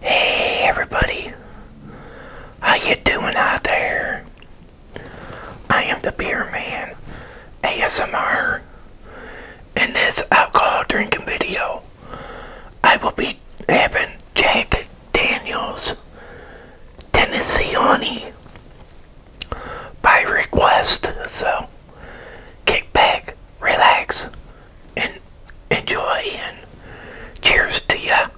Hey everybody, how you doing out there? I am the Beer Man ASMR. and this alcohol drinking video, I will be having Jack Daniels Tennessee Honey by request. So, kick back, relax, and enjoy, and cheers to ya!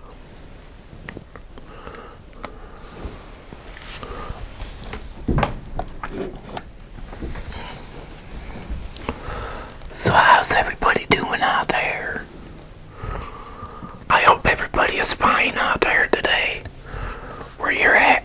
So how's everybody doing out there? I hope everybody is fine out there today, where you're at.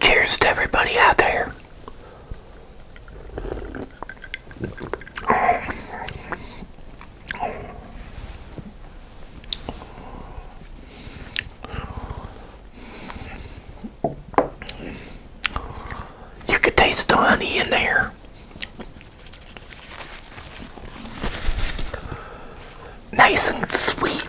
Cheers to everybody out there. You can taste the honey in there. Nice and sweet.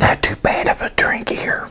Not too bad of a drink here.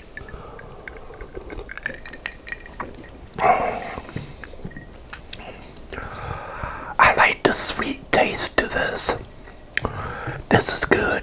I like the sweet taste to this. This is good.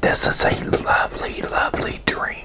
This is a lovely, lovely drink.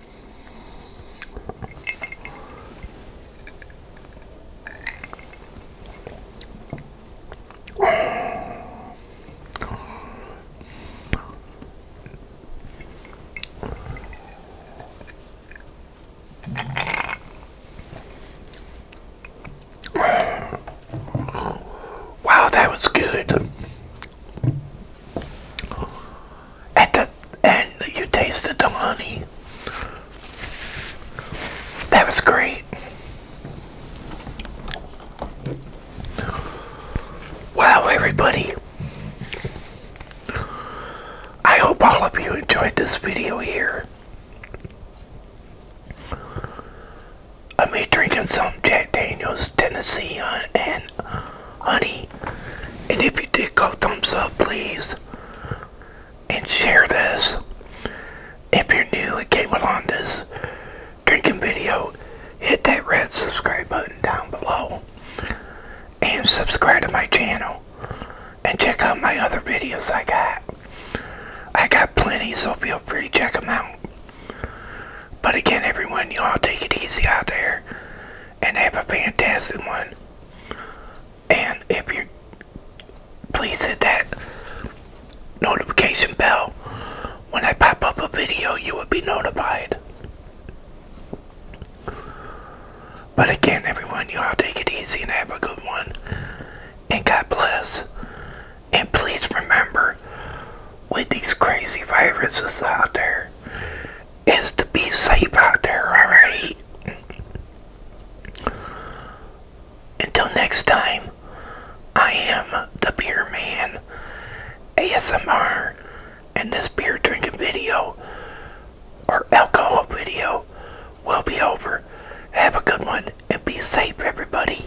Wow, that was good. At the end, you tasted the honey. That was great. Wow, everybody. I hope all of you enjoyed this video here. Of me drinking some Jack Daniels Tennessee uh, and honey. And if you did, go thumbs up, please. And share this. If you're new and came along this drinking video, hit that red subscribe button down below. And subscribe to my channel. And check out my other videos I got. I got plenty, so feel free to check them out. But again, everyone, y'all take it easy out there and have a fantastic one. And if you please hit that notification bell when I pop up a video, you will be notified. But again, everyone, y'all take it easy and have a good one. And God bless. And please remember with these crazy viruses out there is to be safe out there, alright? Until next time, I am the Beer Man ASMR, and this beer drinking video or alcohol video will be over. Have a good one and be safe, everybody.